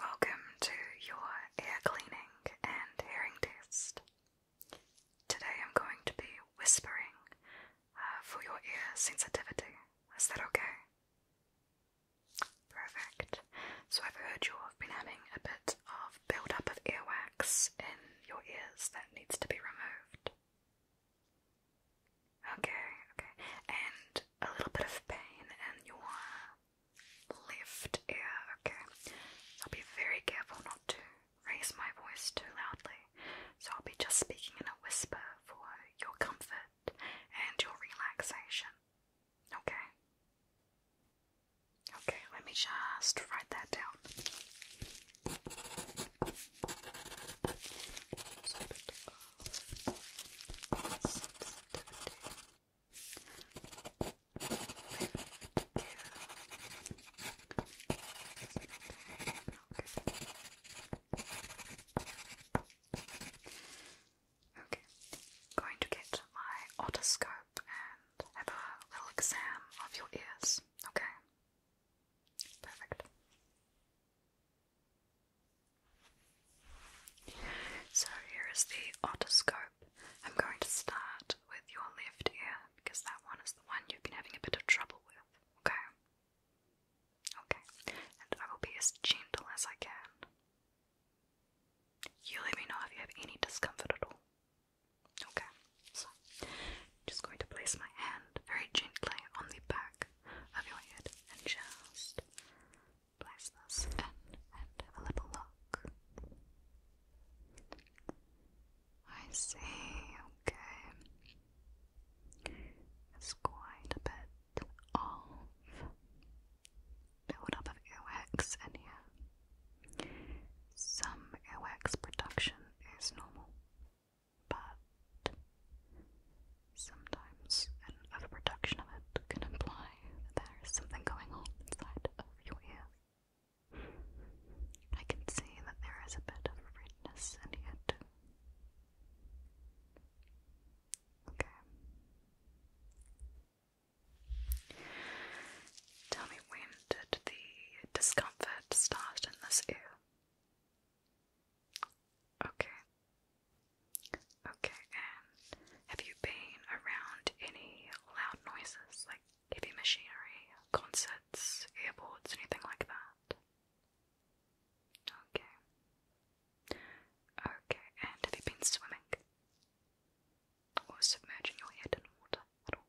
Welcome to your ear cleaning and hearing test. Today I'm going to be whispering uh, for your ear sensitivity. Is that okay? Perfect. So I've heard you've been having a bit of build of earwax in your ears that needs to be removed. Okay, okay. And a little bit of pain, and you want lift ear, okay? So I'll be very careful not to raise my voice too loudly. So I'll be just speaking in a whisper for your comfort and your relaxation. Okay? Okay, let me just write that down. Okay, going to get my otoscope and have a little exam of your ears, okay? Perfect. So here is the otoscope. I'm going to start with your left ear because that one is the one you've been having a bit of trouble with, okay? Okay, and I will be as gentle as I can. You let me know if you have any discomfort at all. Okay, so just going to place my hand very gently on the back of your head and just place this and have a little look. I see, okay. It's quite a bit of build of earwax in here. Some earwax production is normal, but sometimes an overproduction of it can imply that there is something going on inside of your ear. I can see that there is a bit of redness in it. Okay. Tell me when did the discomfort start in this ear? Okay. Okay, and have you been around any loud noises like heavy machinery, concerts, airports, anything like that? Okay. Okay, and have you been swimming? Or submerging your head in water at all?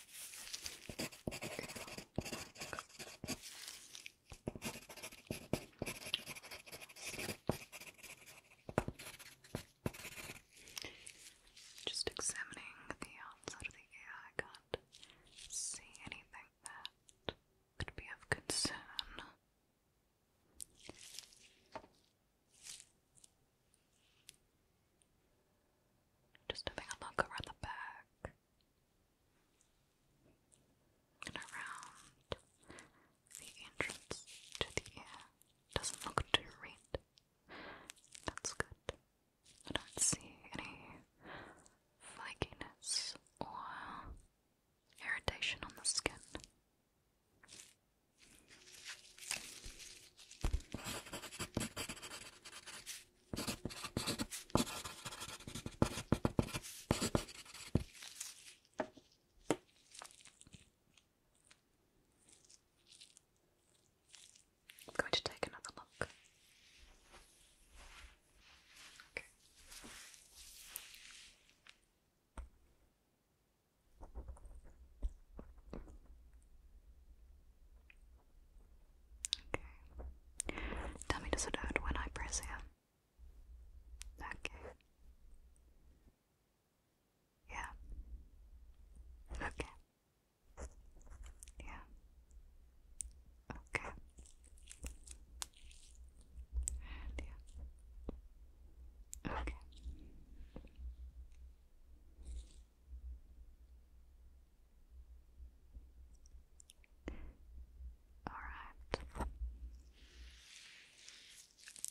Just examining the outside of the ear, can't see anything that could be of concern. Just having a look around the back and around the entrance to the air. Doesn't look too red. That's good. I don't see any flakiness or irritation on the skin. I'm going to take another look. Okay. Tell me, does it hurt when I press here? Okay. Yeah. Okay. Yeah. Okay. And yeah. Okay. Alright.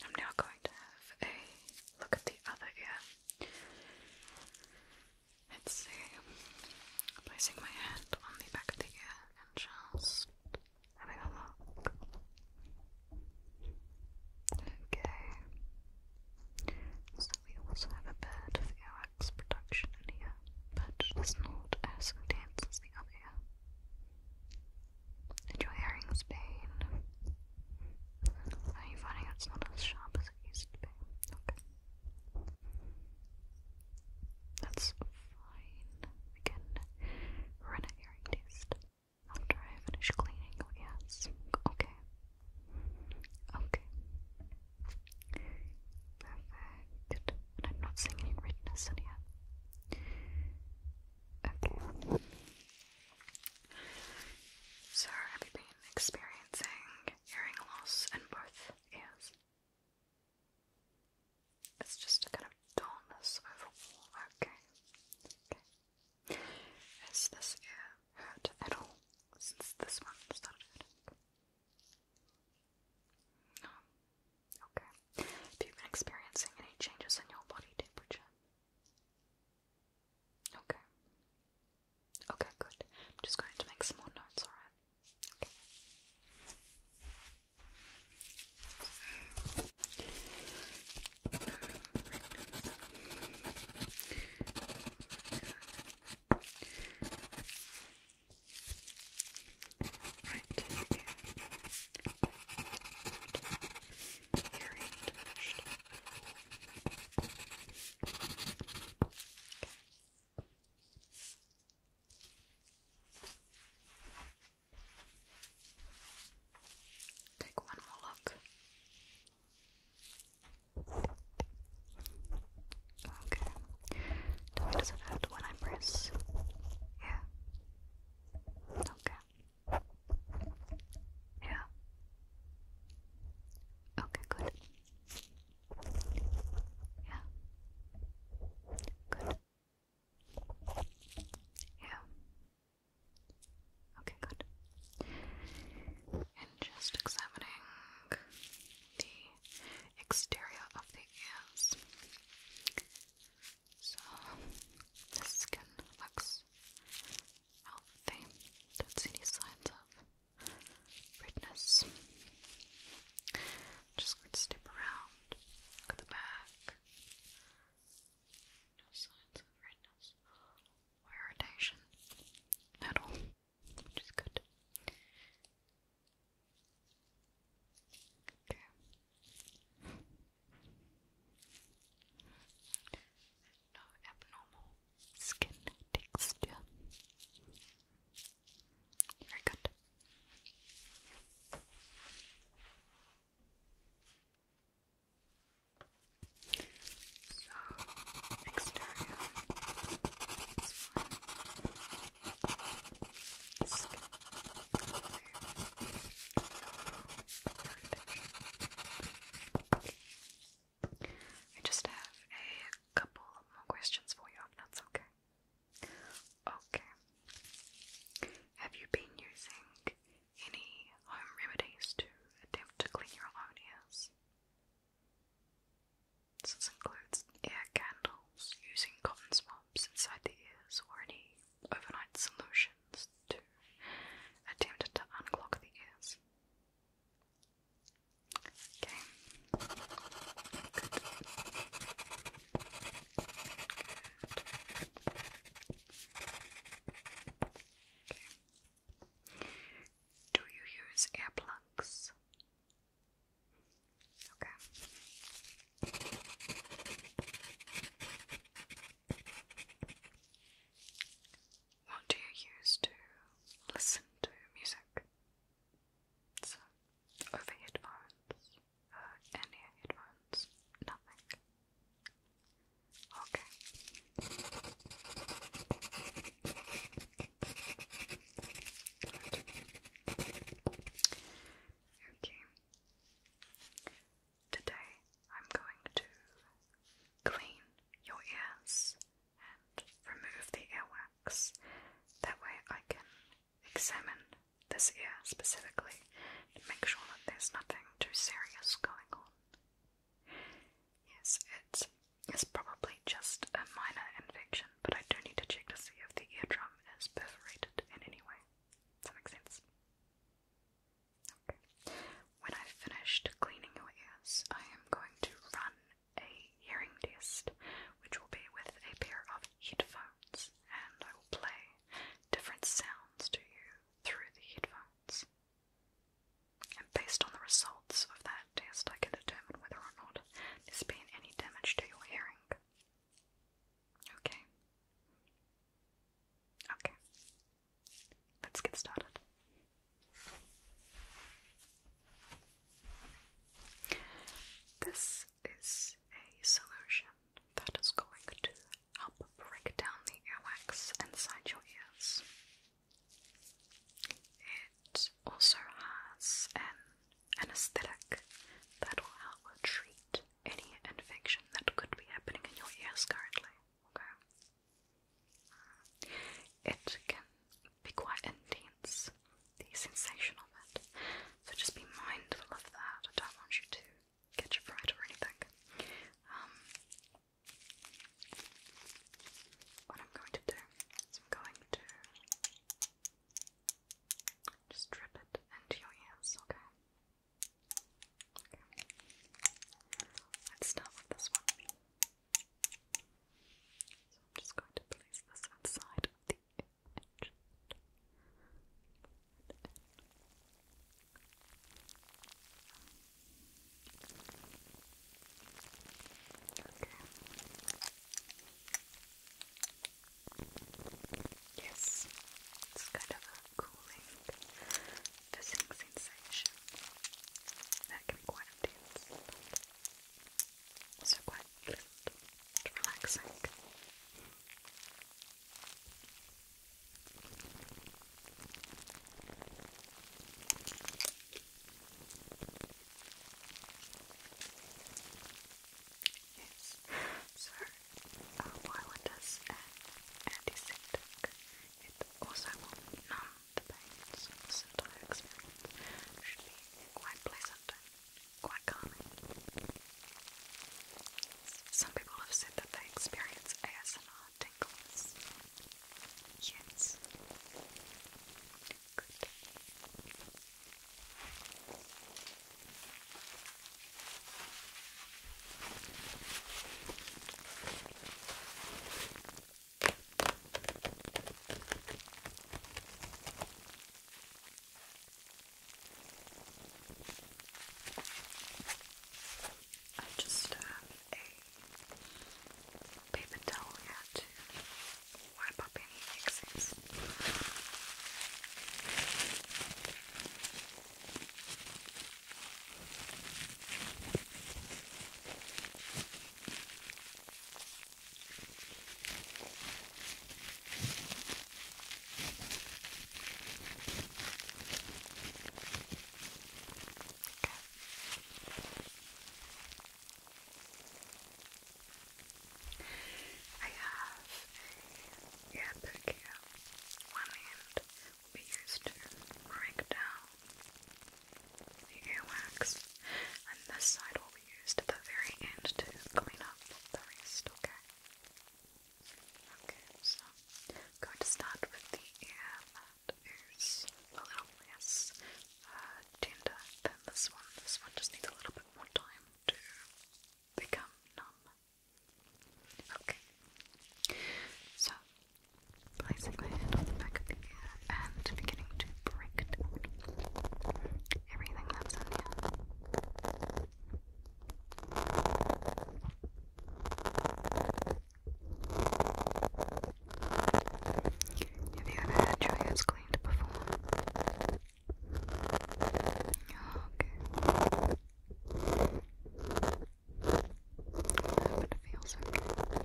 I'm now going to have a look at the other ear. Let's see. Placing my hand on the back of the ear and just having a look. Okay. So we also have a bird of earwax production in here, but it's not as intense as the other ear. your hearing's pain. Are you finding it's not as sharp as it used to be? Okay. That's fine. We can run a hearing test after I finish cleaning your ears. Okay. Okay. Perfect. I'm not seeing any redness in Okay. So, have you been experiencing hearing loss in both ears? It's just a kind of dullness overall. Okay. Okay. Has this ear hurt at all since this one started okay. Have you been experiencing any changes in your body temperature? Okay. Okay, good. I'm just going to make some more notes, alright? Okay. Right here. Take one more look. Okay. Tell me, does it when I press? Yeah. Okay. Yeah. Okay, good. Yeah. Good. Yeah. Okay, good. And just examining the exterior of the ears. So the skin looks healthy. Don't see any signs of redness. Just going to step around, look at the back. No signs of redness or irritation at all which is good. Okay. No abnormal skin texture. Very good. So exterior is fine. I just have a couple more questions for you, if that's okay. Okay. Have you been using any home remedies to attempt to clean your own ears? This includes air candles using cotton swabs inside the ears or any overnight solutions to attempt to unclog the ears. Okay. Do you use earplugs? Okay. What do you use to listen to music? So, over uh, any headphones, nothing. Okay. Okay. Today I'm going to clean your ears and remove the earwax. That way I can examine this ear specifically to make sure that there's nothing too serious going on. Yes, it's it's probably just a minor infection, but I do need to check to see if the eardrum is perforated in any way. Does that make sense? Okay. When i finished cleaning your ears, I am going to run a hearing test, which will be with a pair of headphones, and I will play different sounds to you through the headphones. And based on the result, of that test, I can determine whether or not there's been any damage to your hearing. Okay. Okay. Let's get started. This is a solution that is going to help break down the earwax inside your ears. It also has an anesthetic that will help treat any infection that could be happening in your ears currently. Okay. It can be quite intense, the sensation of it. So just be mindful of that. I don't want you to get a fright or anything. Um, what I'm going to do I'm going to just drip it into your ears, okay? Okay. Let's start with this one. So I'm just going to place this outside of the edge. Yes, it's kind of a cooling, fizzing sensation. That can be quite intense. So quite pleasant and relaxing. Yes, so uh, while it is an antiseptic, it also will the pain, so this entire experience quite pleasant quite calming. Some people have said that they experience ASMR tingles. Yes. Good. I just have a paper towel to wipe up any excess. Okay. I have a earpick here. One end will be used to break down the earwax, and this side will be used at the very end to clean up the rest, okay? Okay, so going to start with the ear that is a little less tender than this one. This one just needs a little bit more time to become numb. Okay. So, placing my hand on the back of the ear and beginning to break down everything that's in here. Have you ever had your hands cleaned before? Oh, okay. it feels okay.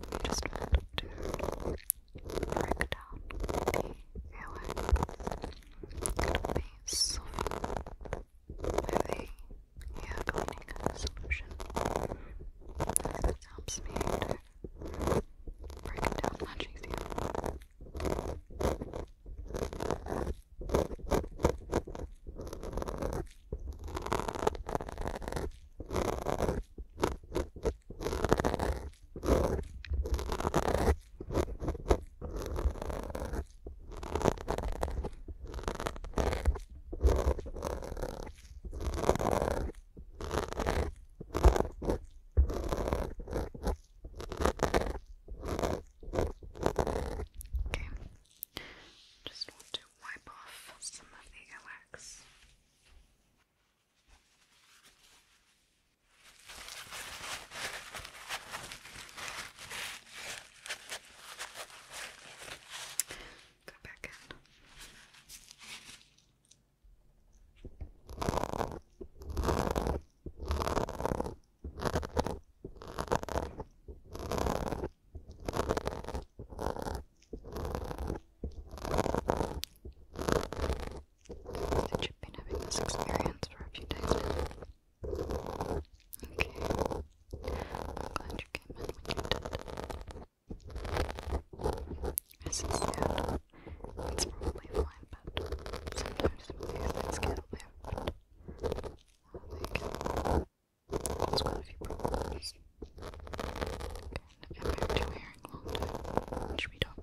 You just want to break down the airway. It'll be softened with cleaning solution. helps me to break it down matching Okay. Just want to wipe off some of the wax. Go back in. Since you've been having this experience for a few days now. Okay. I'm glad you came in when you did. This it's probably fine, but sometimes some of things get a bit, I think, it a few problems. And I've wearing long time, which we don't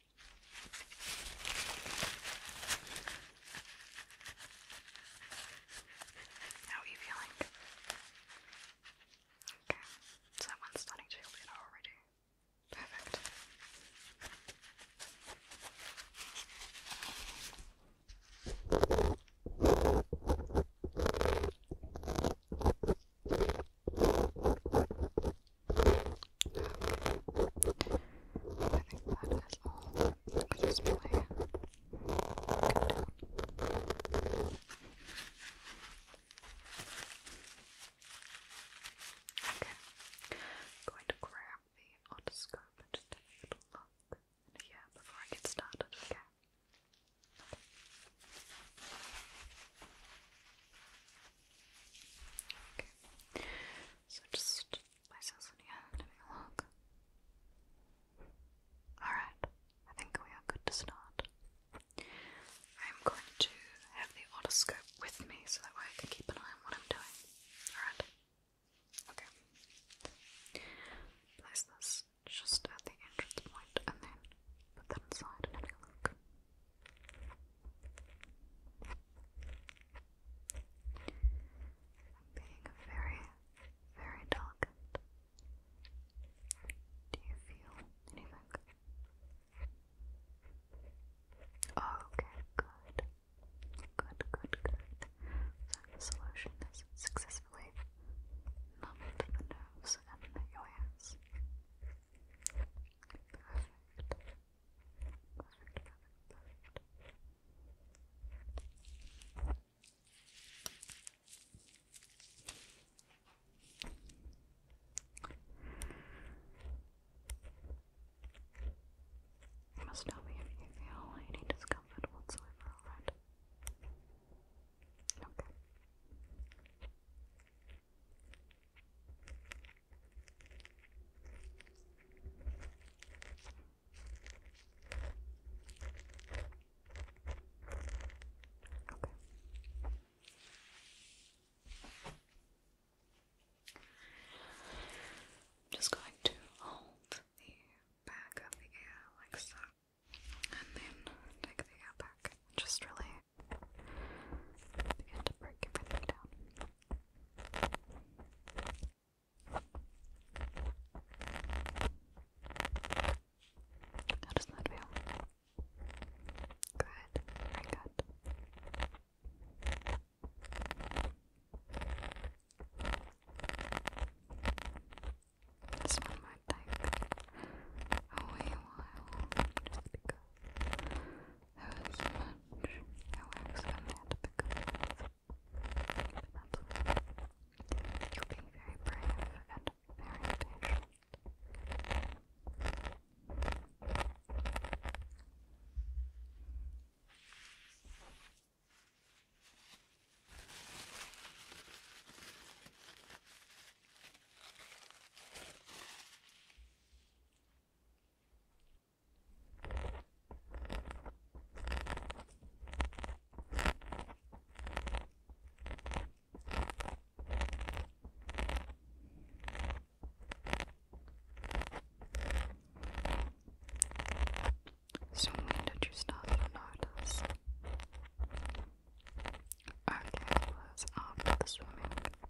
How are you feeling? Okay, so starting to feel better already. Perfect. I think that is all for this play. Okay, going to grab the otoscope and just take a little look in before I get started, Okay. So just places in here, having a look. Alright, I think we are good to start. I'm going to have the otoscope with me so that way I can keep an eye on what I'm doing. Alright? Okay. Place this just at the entrance point and then put that inside and have a look i being very, very delicate. Do you feel anything? Okay, good. Good, good, good. So the solution is successfully numbed the nerves and the ears perfect, You must tell me if you feel any discomfort whatsoever, alright? Okay. I'm just going to hold the back of the ear like so, and then take the ear back. Just really we have to break everything down. How does that feel? Good, very good. Just one more thing. Oh, wait, wow. Just because. There much hours coming out of the you very brave and very patient. So when did you start to notice? Okay, it was after the swimming.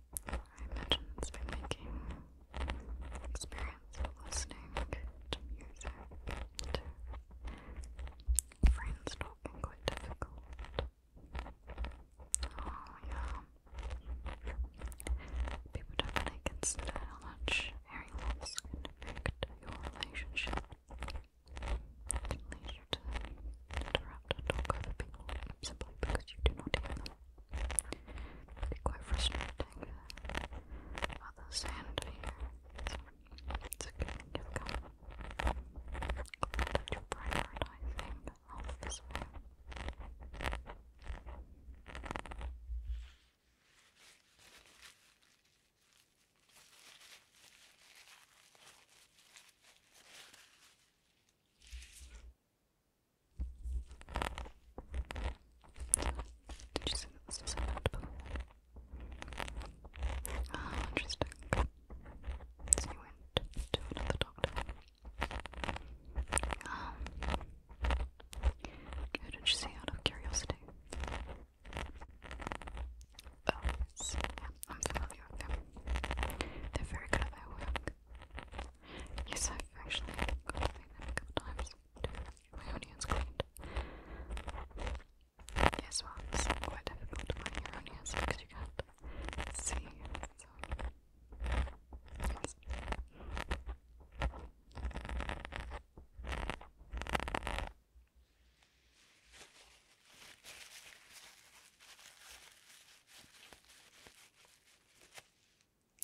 I imagine it's been making experience of listening to music friends talking quite difficult. Oh yeah. People do consider how much hearing loss can affect your Relationship to interrupt and talk over people simply because you do not hear It can be quite frustrating others and to it's a good thing you've come. Glad that you're Thank you did you say that this was a ah, interesting. So you went to another doctor. Um, did you see out of curiosity? Oh, yes. Yeah, I'm familiar with them. They're very good at their work. Yes, I've actually got them a couple times to my onions cleaned. Yes, it's quite difficult to your onions because you can't see.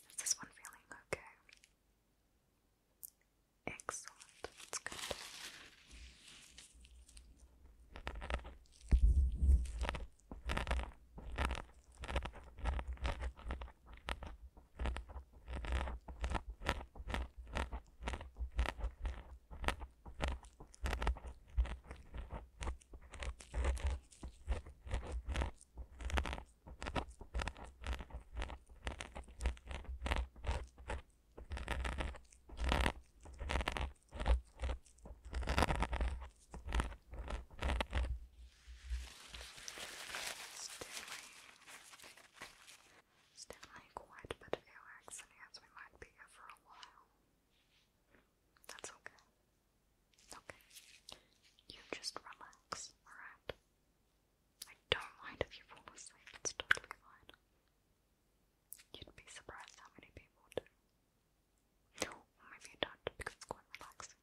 Is this one feeling okay? Excellent, that's good. It's definitely quite a bit of earwax in we might be here for a while. That's okay. Okay. You just relax, alright? I don't mind if you fall asleep, it's totally fine. You'd be surprised how many people do. maybe not because it's quite relaxing.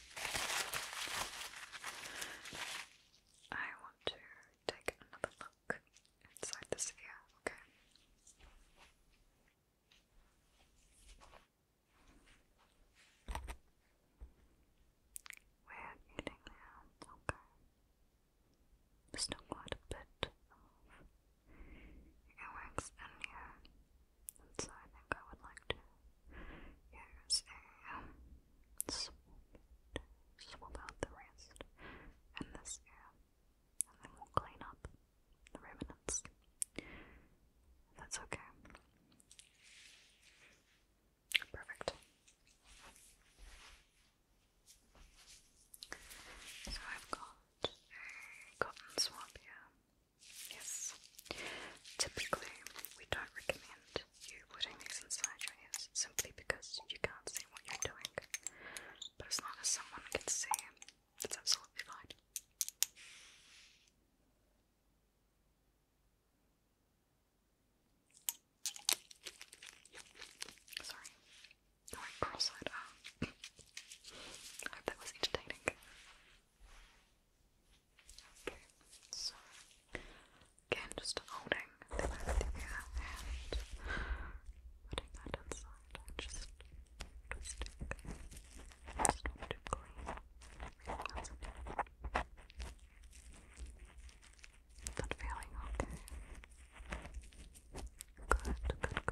I want to take another look inside the sphere, okay? We're eating now, okay. There's still quite a bit of earwax in here, so I think I would like to Use a swoop swab out the rest in this and then we'll clean up the remnants. That's okay. Perfect. So I've got a cotton swab here. Yes. Typically, we don't recommend you putting these inside your ears simply because you can't see what you're doing. But as long as someone can see, it's absolutely fine. Sorry. Going cross-eyed. I hope that was entertaining. Okay, so again, just holding the left and putting that inside and just twisting. It's not clean. feeling okay? Good, good, good.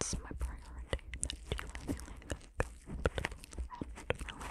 It's my priority that you are feeling and relaxed. Okay.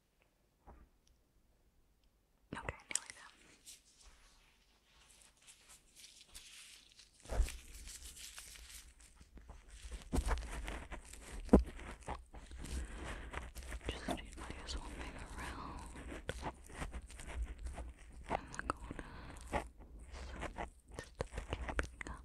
Okay, nearly there. Just need my usual big around in the corner. So just keep up.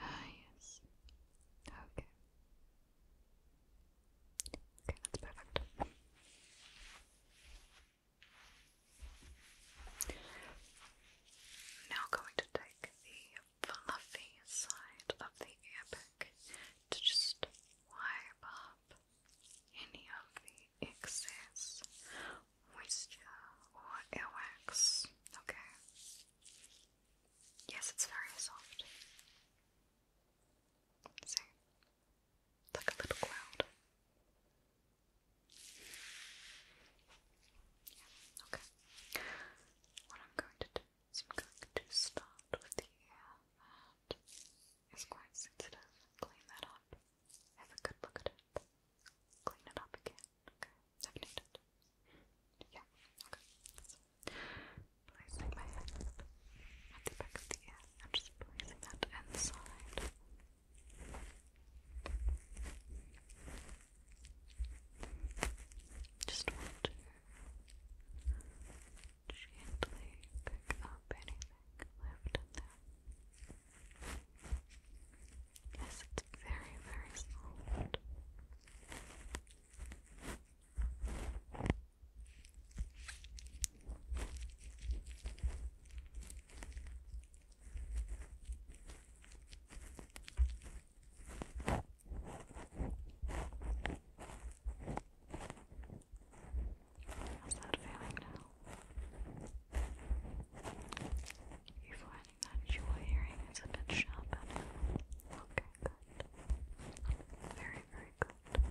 Ah, yes. Okay. Okay, that's perfect. Now, going to take the fluffy side of the earpick to just wipe up any of the excess moisture or earwax. Okay. Yes, it's very soft. See? like a little cloud. Yeah, okay. What I'm going to do so I'm going to stop with the ear that is quite sensitive. Clean that up. Have a good look at it. Clean it up again. Okay. I've needed Yeah. Okay. placing my hand at the back of the ear. I'm just placing that inside. Just want Gently pick up anything left there. Yes, it's very, very soft. How's that feeling now? You finding that your hearing is a bit sharper Okay, good. Very, very good.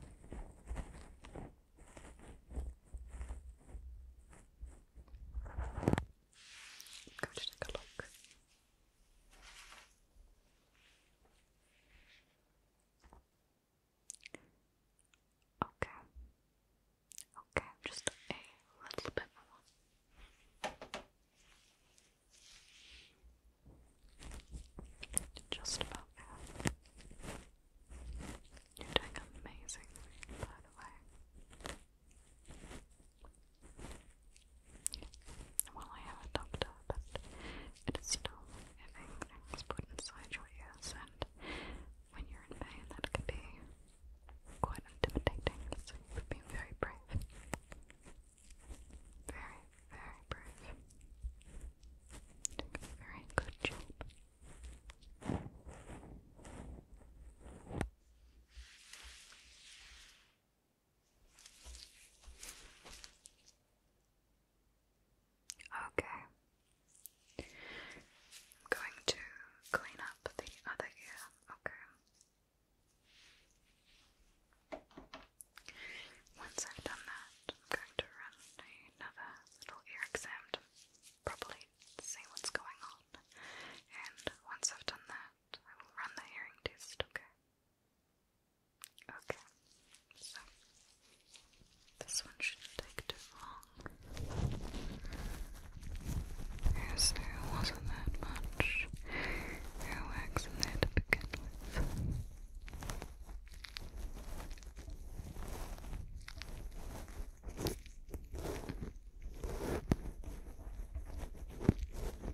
i to take a look Okay. Okay, just a little bit more. Just about there. You're doing amazingly, by the way. Well, I am a doctor, but it is still having things put inside your ears, and when you're in pain, that can be quite intimidating. So you've very brave. Very, very brave. very good job. Okay. I'm going to clean up the other ear. Okay. Once I've done that, I'm going to run another little ear exam to properly see what's going on. And once I've done that, I will run the hearing test, okay? Okay, so this one should take too long. Yes, wasn't that much earwax in there to begin with.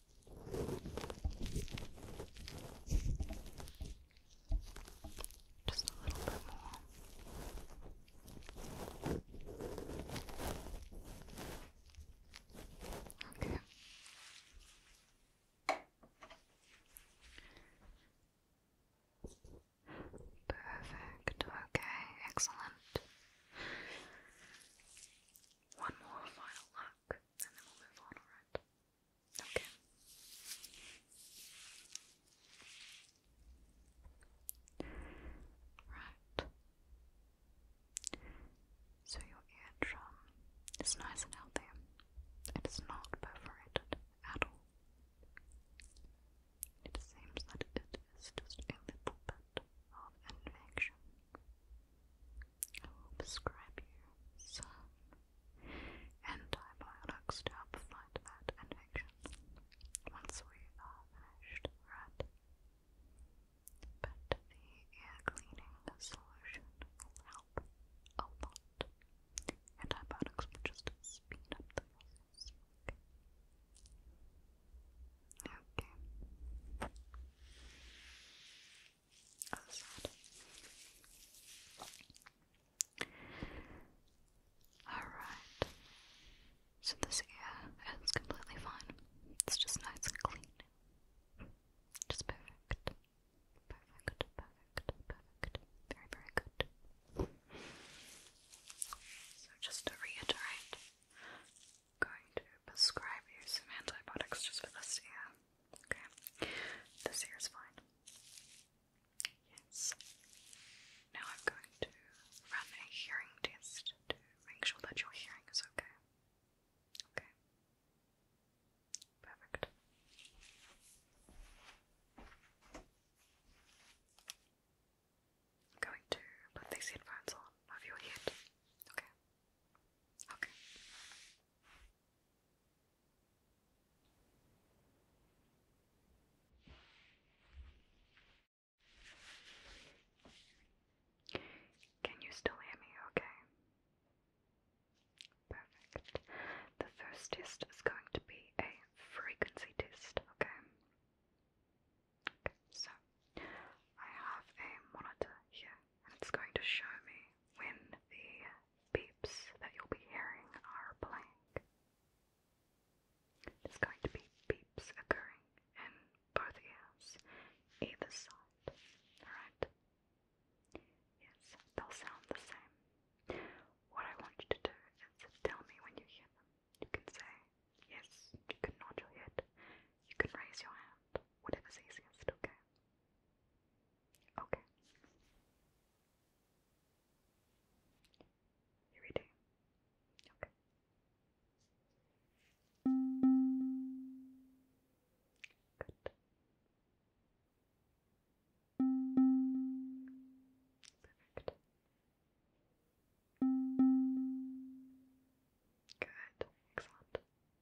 Just a little bit more. Okay. Perfect. Okay, excellent. One more final look and then we'll move on, alright? Okay. Right. So your eardrum is nice and healthy. It is not perforated at all. It seems that it is just a little bit of infection I will prescribe you some antibiotics to help fight that infection once we are finished, right? But the ear cleaning solution will help a lot. Antibiotics will just speed up the process. okay. Alright. So this ear is completely fine. It's just nice and clean. Just perfect. Perfect, perfect, perfect. Very, very good. So just to reiterate, I'm going to prescribe you some antibiotics just for this ear. Okay. This here is fine. Yes. Now I'm going to run a hearing test to make sure that your hearing is okay. Okay. Perfect. I'm going to put these headphones on over your head. Okay. Okay. Can you still hear me okay? Perfect. The first test is going to be a frequency test, okay? Okay, so I have a monitor here it's going to show me when the beeps that you'll be hearing are playing. There's going to be beeps occurring in both ears, either side, alright? Yes, they'll sound the same. What I want you to do is tell me when you hear them. You can say yes, you can nod your head, you can raise your hand, whatever's easiest, okay? Okay. you Okay. Good. Perfect. Good. Excellent.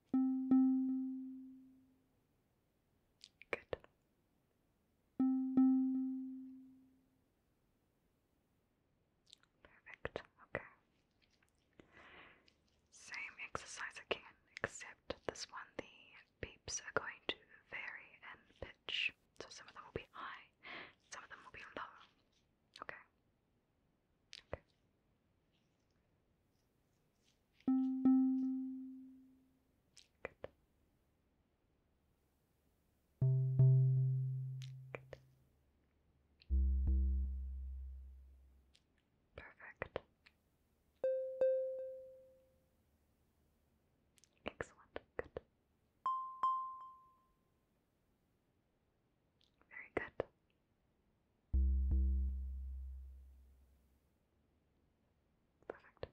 Good. Perfect. Okay. Same exercise again, except this one the beeps are going to vary in pitch. So some of them will be high, some of them will be low. Okay. Okay. Good. Perfect. Excellent. Good. Very good. Perfect.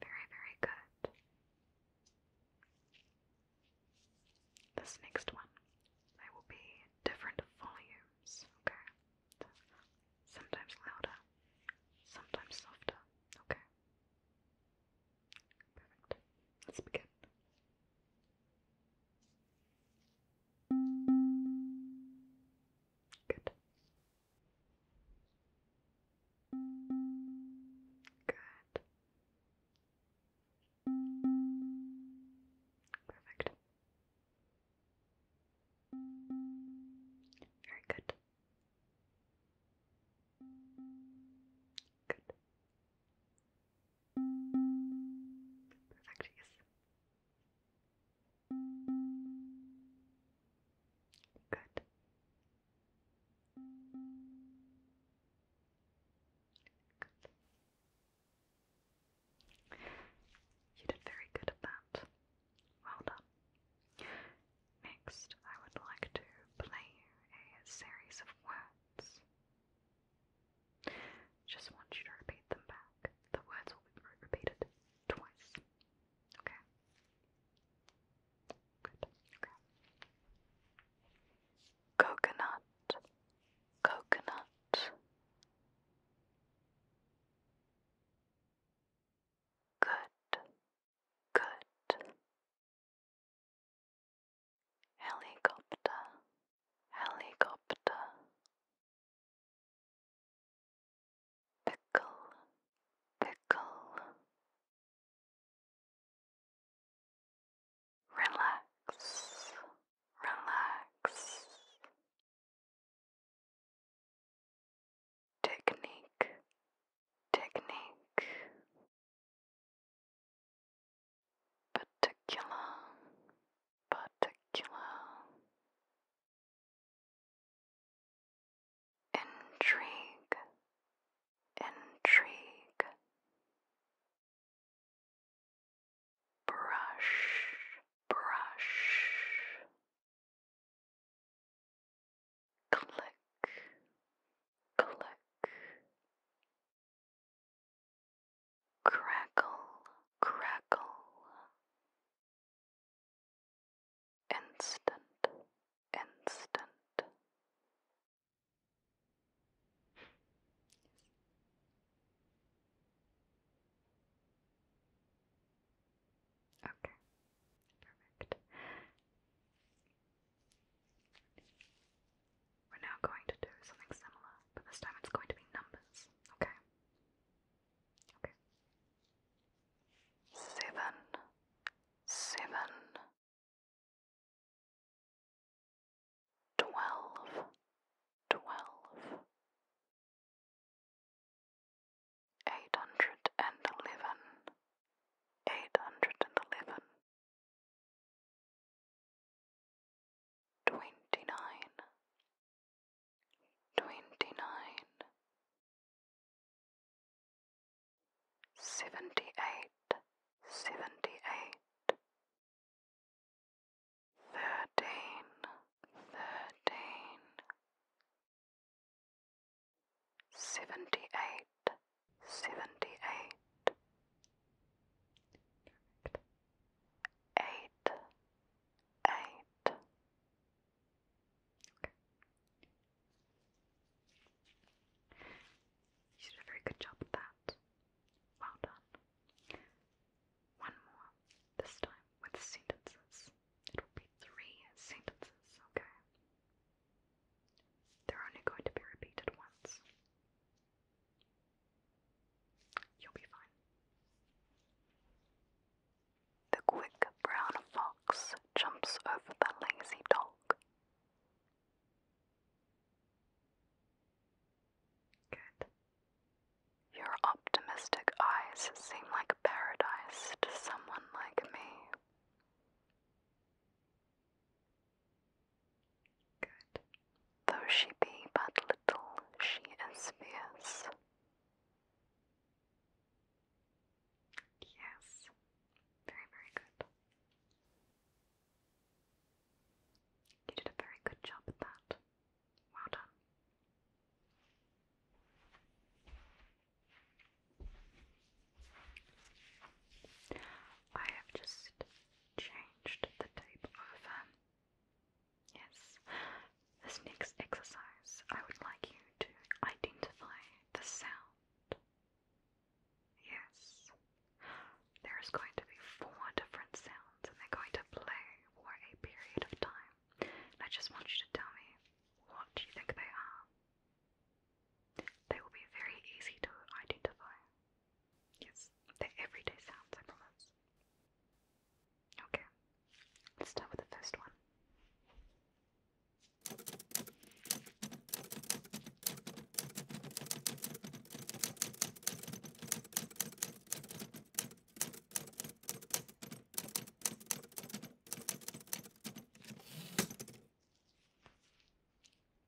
Very, very good. This next one, they will be different volumes, okay? Sometimes louder, sometimes softer, okay? Perfect. Let's begin. Good. Good. Perfect. Very good. Good. Perfect, yes. Good. Good. You did very good at that. Well done. Next, I would like to play a series of words. Just want you to repeat them back. The words will be repeated twice. Okay? Good. Coconut. Coconut. Good. Good helicopter, helicopter, pickle, pickle, relax, relax. Technique, technique, particular, particular, intrigue, intrigue, brush, brush, click, click. Crackle, crackle. Instant, instant. Okay, perfect. We're now going to do something similar, but this time it's going to be numbers, okay? Okay. Seven. Seven. Twelve. Twelve. Eight hundred and eleven. Eight hundred and eleven twenty nine, twenty nine, seventy eight, seventy eight, thirteen, thirteen, seventy eight, seventy eight. Eight, eight. You did a very good job with that. Well done. One more, this time with sentences. It will be three sentences, okay? They're only going to be repeated once. You'll be fine. The quick brown fox jumps over the lazy dog. Good. Your optimistic eyes seem like paradise to someone like me. Though she be but little, she is fierce. Yes. Very, very good. You did a very good job at that. Well done. I have just changed the tape over. Yes, this next exercise, I would like you to identify the sound. Yes, there is going to be four different sounds and they're going to play for a period of time. And I just want you to tell me what do you think they are. They will be very easy to identify. Yes, the everyday sounds, I promise. Okay, let's start with the first one.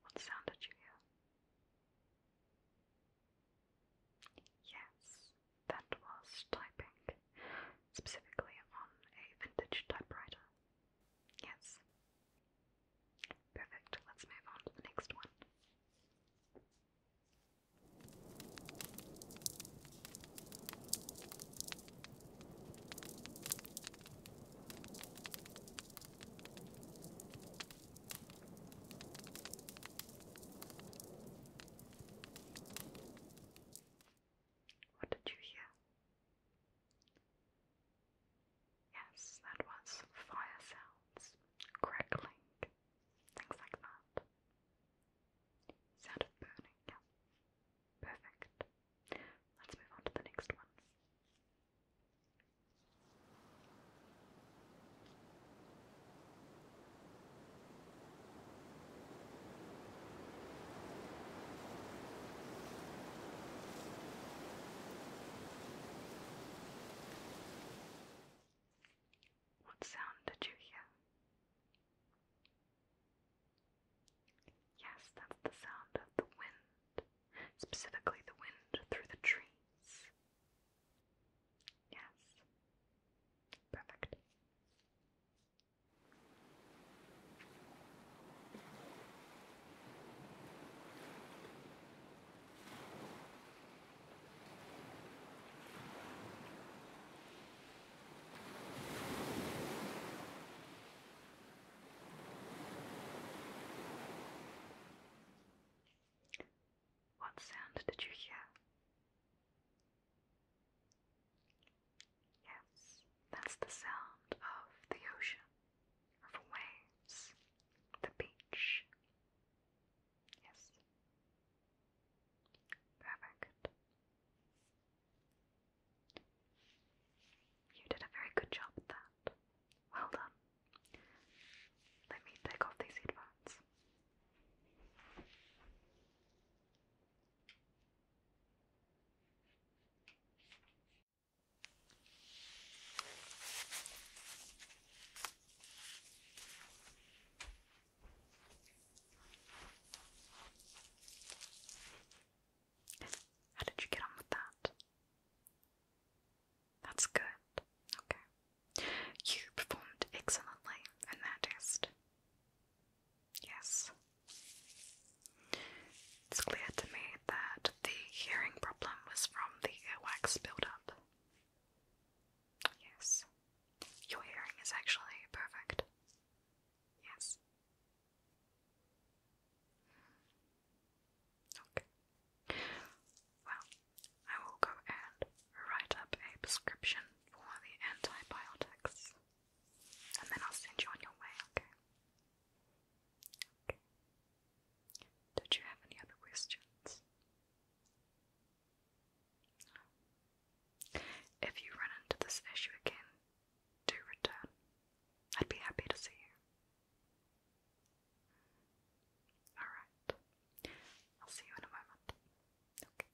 What sound did you hear? Yes, that was typing, specifically on a vintage typewriter. Yes. Perfect, let's move on to the next one. What did you hear? Yes, that was fire sounds, crackling, things like that. Sound of burning. Perfect. Let's move on to the next one. What sound did you hear? Yes, that's the sound of the wind, specifically the wind through the trees. Yes. Perfect. What sound did you hear? Yes, that's the sound of the ocean, of waves, the beach. Yes. Perfect. You did a very good job at that. Well done. Let me take off these headphones. How did you get on with that? That's good. Okay. You performed excellently in that test. Yes. It's clear to me that the hearing problem was from the earwax buildup. Yes. Your hearing is actually perfect. Yes. Okay. Well, I will go and write up a prescription for the antibiotics. And then I'll send you on your way, okay? Okay. Did you have any other questions? If you run into this issue again, do return. I'd be happy to see you. Alright. I'll see you in a moment. Okay.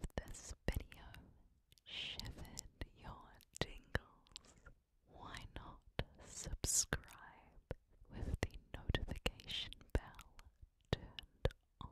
If this video shivered your tingles, why not subscribe with the notification bell turned on?